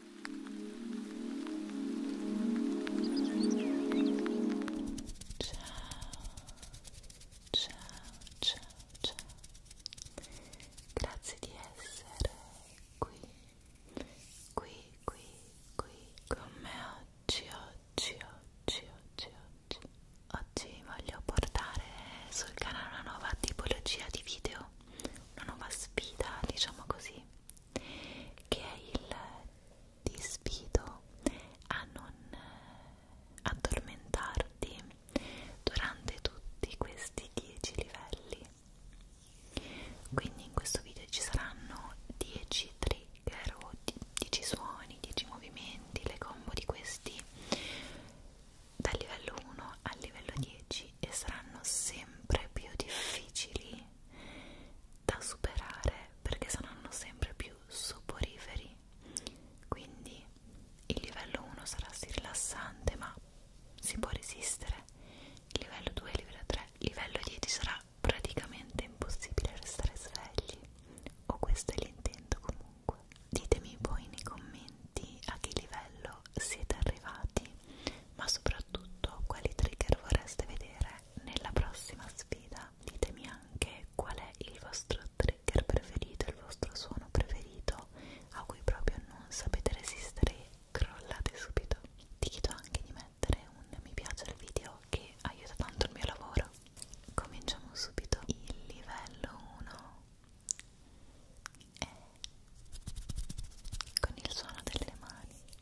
ciao, ciao, ciao. Grazie di essere qui, qui, qui, qui con me oggi, oggi, oggi, oggi, oggi. Oggi voglio portare sul canale una nuova tipologia di video, una nuova sfida, diciamo così che è il ti sfido a non eh, addormentarti durante tutti questi 10 livelli quindi in questo video ci saranno 10 trigger o 10 suoni, 10 movimenti le combo di questi dal livello 1 al livello 10 e saranno sempre più difficili da superare perché saranno sempre più soporiferi quindi il livello 1 sarà sì rilassante ma si può resistere il livello 2, il livello 3, il livello 10 sarà praticamente impossibile restare svegli o questo è l'intento comunque ditemi poi nei commenti a che livello siete arrivati ma soprattutto quali trigger vorreste vedere nella prossima sfida. Ditemi anche qual è il vostro trigger preferito, il vostro suono preferito a cui proprio non sapete resistere e crollate subito. Ti chiedo anche di mettere un mi piace al video che aiuta tanto il mio lavoro. Cominciamo subito. Il livello 1 è con il suono delle mani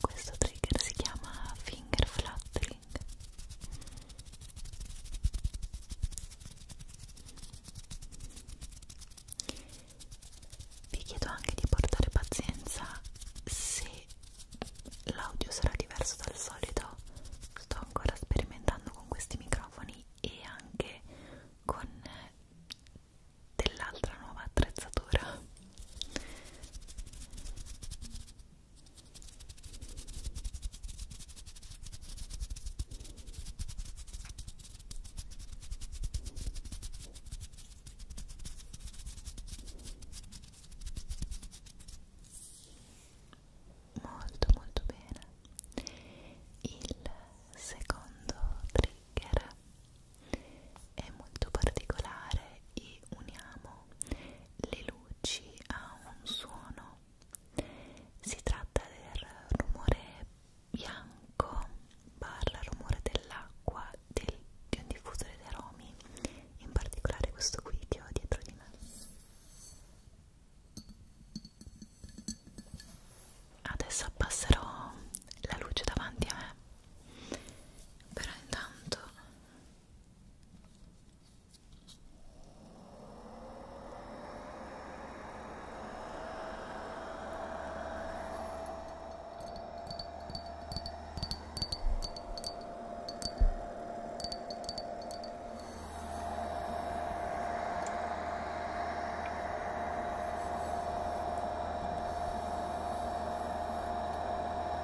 questo trigger si chiama finger fluttering vi chiedo anche di portare pazienza se l'audio sarà diverso dal solito sto ancora sperimentando con questi microfoni e anche con dell'altra nuova attrezzatura Molto molto bene. Il secondo trigger è molto particolare e uniamo le luci a un suono si tratta del rumore bianco barra rumore dell'acqua del, di un diffusore di aromi in particolare questo qui che ho dietro di me adesso abbasserò la luce davanti a me però intanto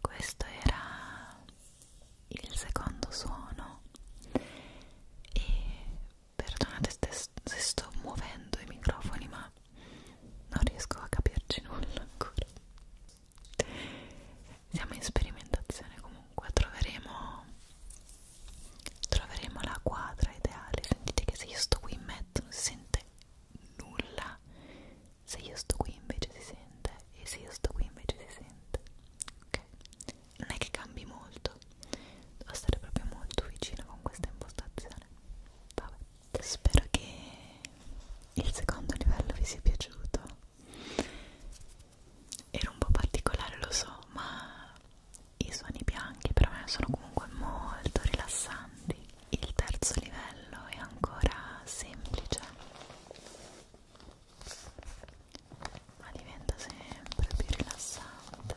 Questo era il secondo suono e perdonate se sto muovendo i microfoni ma ma non riesco a capirci nulla ancora siamo in sperimentazione comunque troveremo troveremo la quadra ideale sentite che se io sto qui in mezzo non si sente nulla se io sto qui invece si sente e se io sto qui invece si sente ok non è che cambi molto devo stare proprio molto vicino con questa impostazione vabbè spero che il secondo livello vi sia piaciuto era un po' particolare lo so ma i suoni bianchi per me sono comunque molto rilassanti il terzo livello è ancora semplice ma diventa sempre più rilassante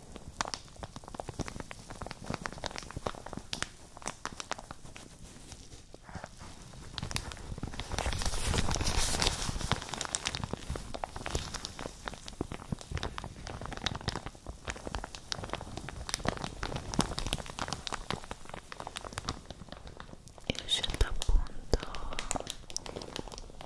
Io ho scelto appunto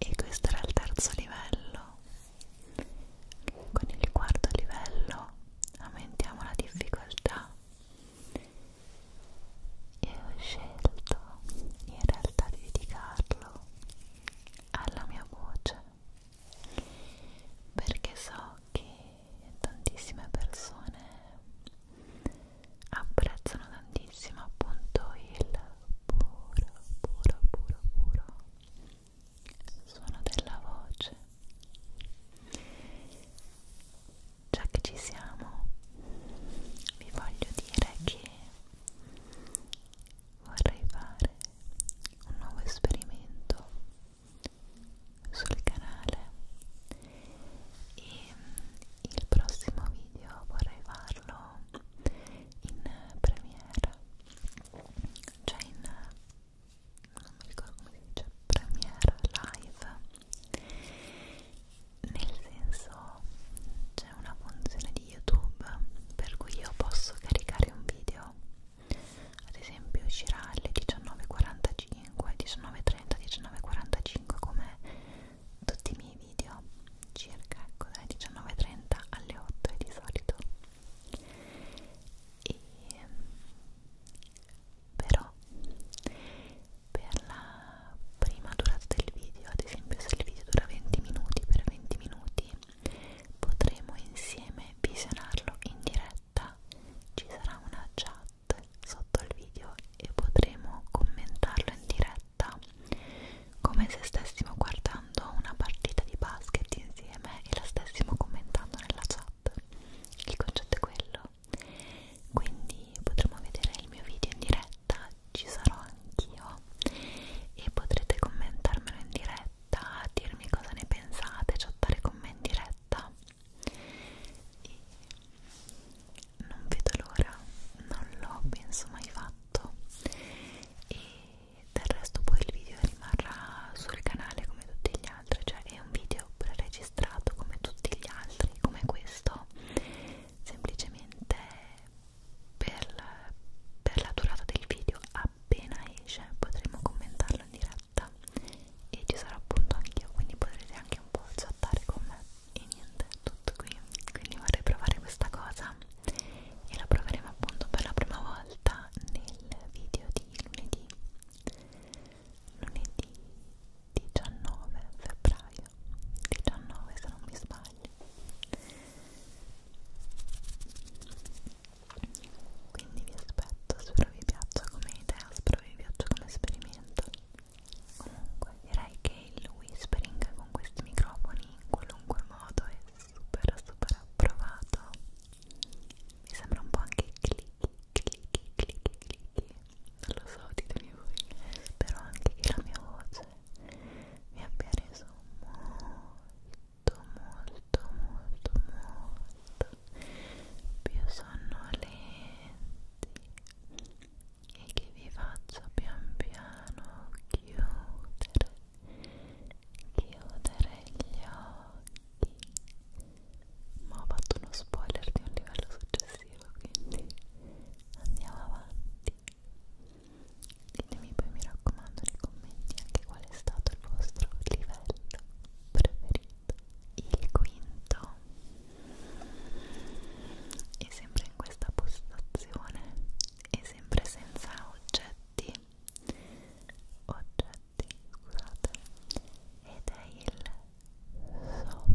e questo era il terzo livello con il quarto livello aumentiamo la difficoltà e ho scelto in realtà di dedicarlo alla mia voce perché so che tantissime persone apprezzano tantissimo appunto il puro, puro, puro, puro suono della voce già che ci siamo vi voglio dire che vorrei fare un nuovo esperimento sul canale e il prossimo video vorrei farlo in premiere cioè in non mi ricordo come si dice premiere live nel senso c'è una funzione di youtube per cui io posso caricare un video ad esempio uscirà alle 19.45 19.30 19.45 come tutti i miei video circa ecco, dalle 19.30 alle 8 di solito e però per la prima durata del video ad esempio se il video dura 20 minuti per 20 minuti potremo insieme visionarlo in diretta ci sarà una chat sotto il video e potremo commentarlo in diretta città, come se stessimo guardando una partita di basket insieme e la stessimo commentando nella chat. Il concetto è quello. Quindi potremo vedere il mio video in diretta, ci sarò anch'io e potrete commentarmelo in diretta, dirmi cosa ne pensate, chattare con me in diretta. E non vedo l'ora, non l'ho penso mai fatto e del resto poi il video rimarrà sul canale come tutti gli altri, cioè è un video pre-registrato come tutti gli altri, come questo, semplicemente per, per la durata del video appena esce potremo commentarlo in diretta e ci sarà appunto anch'io, quindi potrete anche un po' chattare con me e niente, tutto qui quindi vorrei provare questa cosa e la proveremo appunto per la prima volta nel video di lunedì lunedì 19 febbraio 19 se non mi sbaglio quindi vi aspetto spero vi piaccia come idea spero vi piaccia come esperimento comunque direi che il whispering con questi microfoni in qualunque modo è super super approvato mi sembra un po' anche clicchi clicchi clicchi clicchi non lo so ditemi voi spero anche che la mia voce mi abbia reso molto molto molto molto più sonnolenti e che vi faccio pian piano chiudere chiudere gli occhi ma ho fatto uno spoiler di un livello successivo quindi andiamo avanti ditemi poi mi raccomando nei commenti anche qual è stato il vostro livello preferito il quinto e sempre in questa postazione e sempre senza oggetti oggetti scusate ed è il soffio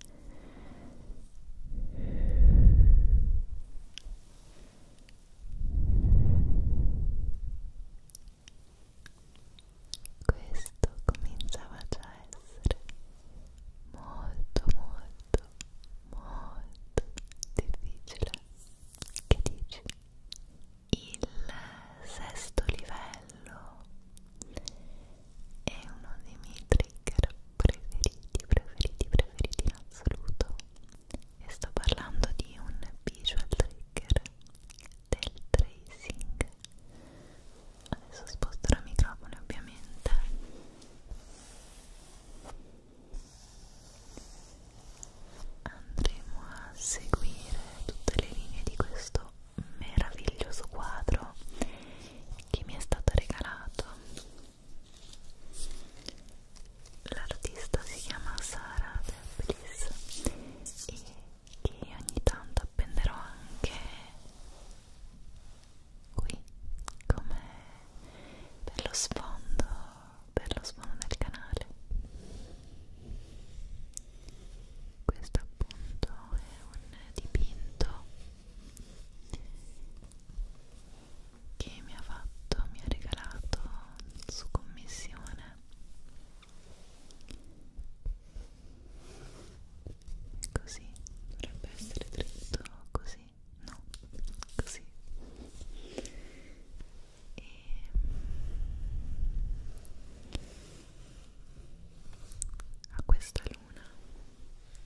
Questo cominciava già a essere molto molto molto difficile. Che dici? Il sesto livello è uno dei miei trigger preferiti, preferiti, preferiti in assoluto e sto parlando di un visual trigger del tracing adesso sposterò il microfono ovviamente andremo a seguire tutte le linee di questo meraviglioso quadro che mi è stato regalato l'artista si chiama Sara Deblis e che ogni tanto appenderò anche qui come per lo sfondo per lo sfondo del canale questo appunto è un dipinto che mi ha fatto, mi ha regalato su commissione così dovrebbe essere dritto così no così e a questa luna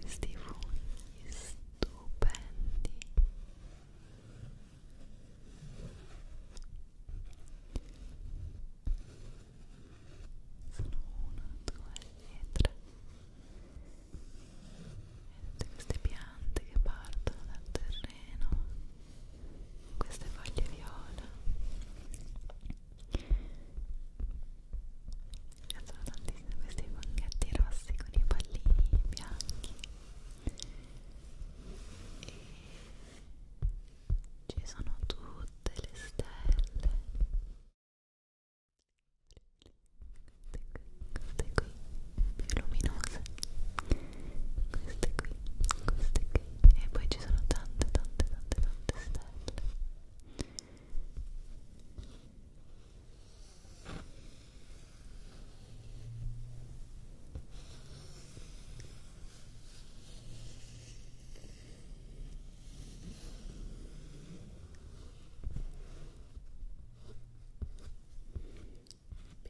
questi funghi stupendi sono uno, due e tre e tutte queste piante che partono dal terreno queste foglie viola mi piacciono tantissimo questi funghetti rossi con i pallini bianchi e ci sono tutte le stelle queste qui più luminose queste qui queste qui e poi ci sono tante tante tante tante stelle mi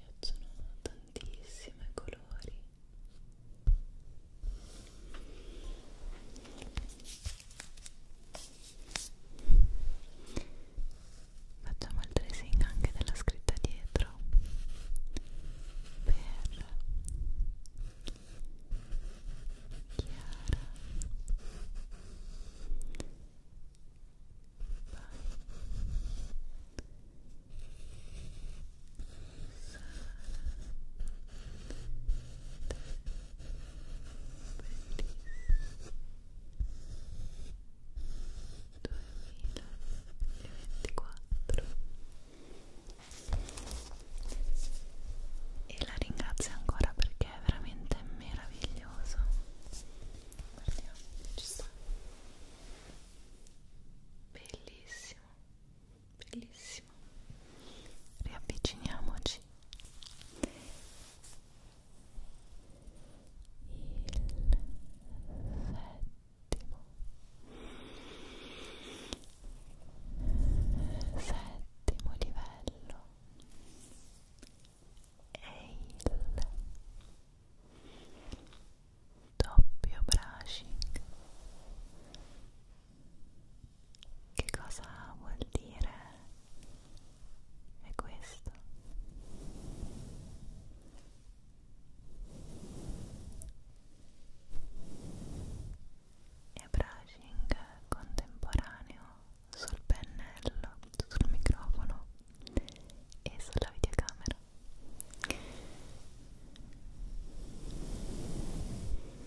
piacciono tantissimi colori. Ora Facciamo il tracing anche della scritta dietro per Chiara Sara, e la ringrazio ancora perché è veramente meraviglioso guardiamo ci sta bellissimo bellissimo benissimo riavviciniamoci il settimo settimo livello è il doppio brushing che cosa vuol dire? È questo. E brushing contemporaneo sul pennello, sul microfono e sulla videocamera.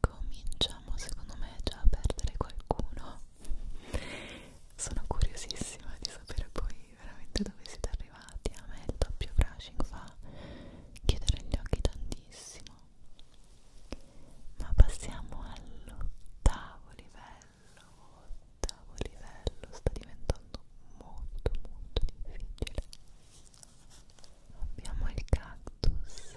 Cominciamo secondo me già a perdere qualcuno. Sono curiosissima di sapere poi veramente dove siete arrivati. A me il doppio brushing fa chiudere gli occhi tantissimo. Ma passiamo all'ottavo livello all'ottavo livello sta diventando molto molto difficile abbiamo il cactus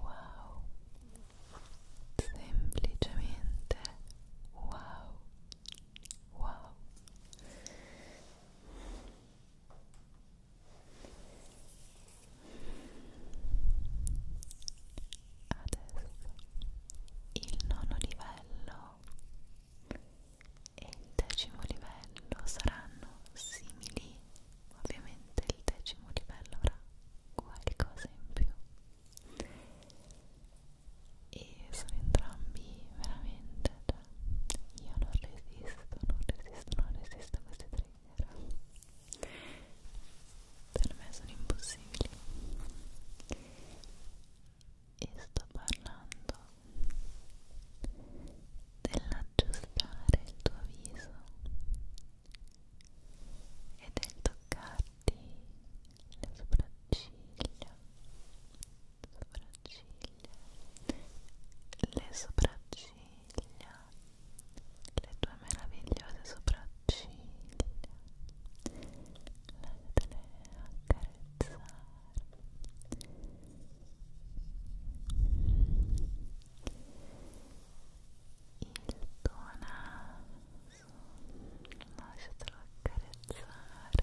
Wow, semplicemente wow, wow il nono livello e il decimo livello saranno simili ovviamente il decimo livello avrà qualcosa in più e sono entrambi veramente io non resisto, non resisto, non resisto a questi trigger. Per me sono impossibili. E sto parlando dell'aggiustare il tuo viso e del toccarti le sopracciglia sopracciglia, le sopracciglia, le tue meravigliose sopracciglia, lasciatele accarezzare. Il tuo naso, lasciatelo accarezzare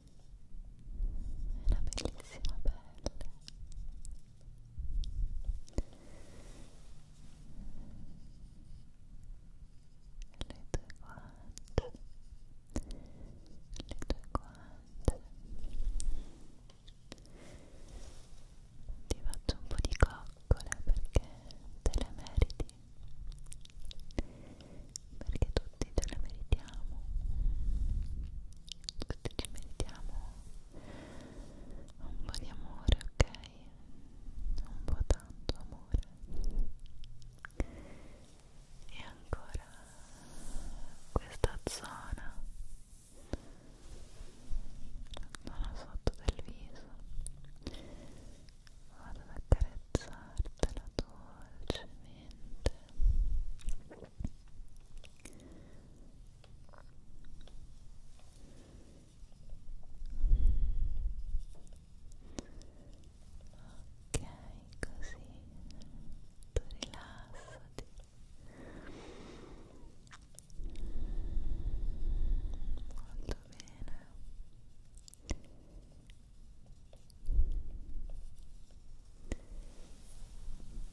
una bellissima pelle le tue guance le tue guance ti faccio un po' di coccole perché te le meriti perché tutti ce le meritiamo tutti ci meritiamo un po' di amore ok un po' tanto amore e ancora questa zona zona sotto del viso vado ad accarezzartela dolcemente ok così tu rilassati molto bene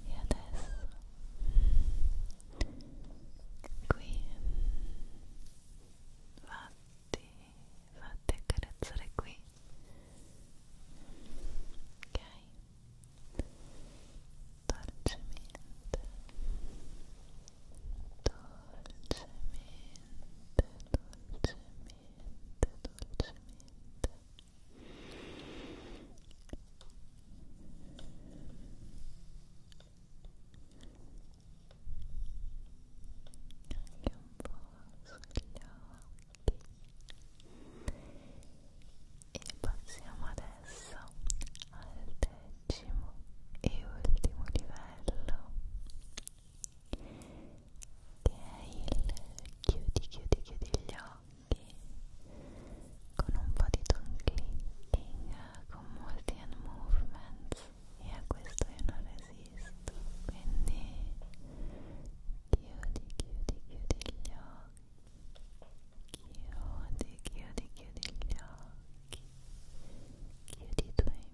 e adesso qui fatti fatti accarezzare qui ok dolcemente dolcemente dolcemente dolcemente dolcemente anche un po' sugli occhi e passiamo adesso al decimo e ultimo livello che è il chiudi chiudi chiudi gli occhi con un po' di tone con molti movements e a questo io non resisto quindi chiudi chiudi chiudi gli occhi chiudi chiudi chiudi gli occhi chiudi i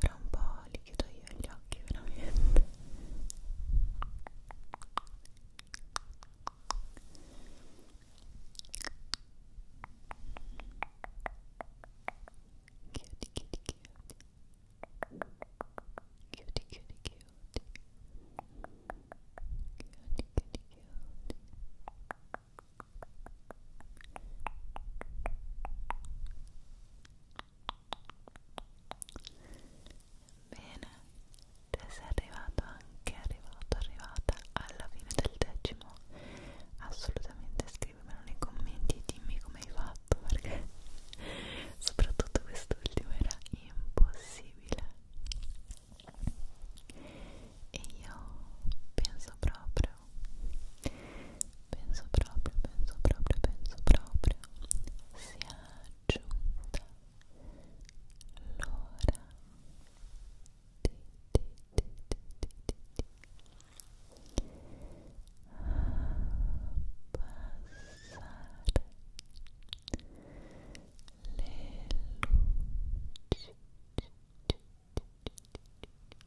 Però un po' li chiudo io gli occhi veramente Chiudi, chiudi, chiudi Chiudi, chiudi, chiudi Chiudi, chiudi, chiudi Chiudi, Bene, te sei arrivato anche arrivato, arrivata alla fine del decimo. Assolutamente scrivimelo nei commenti e dimmi come hai fatto perché soprattutto quest'ultimo era impossibile. E io penso proprio penso proprio, penso proprio, penso proprio sia giunta l'ora di, di, di, di, di, di, di abbassare ah, le luci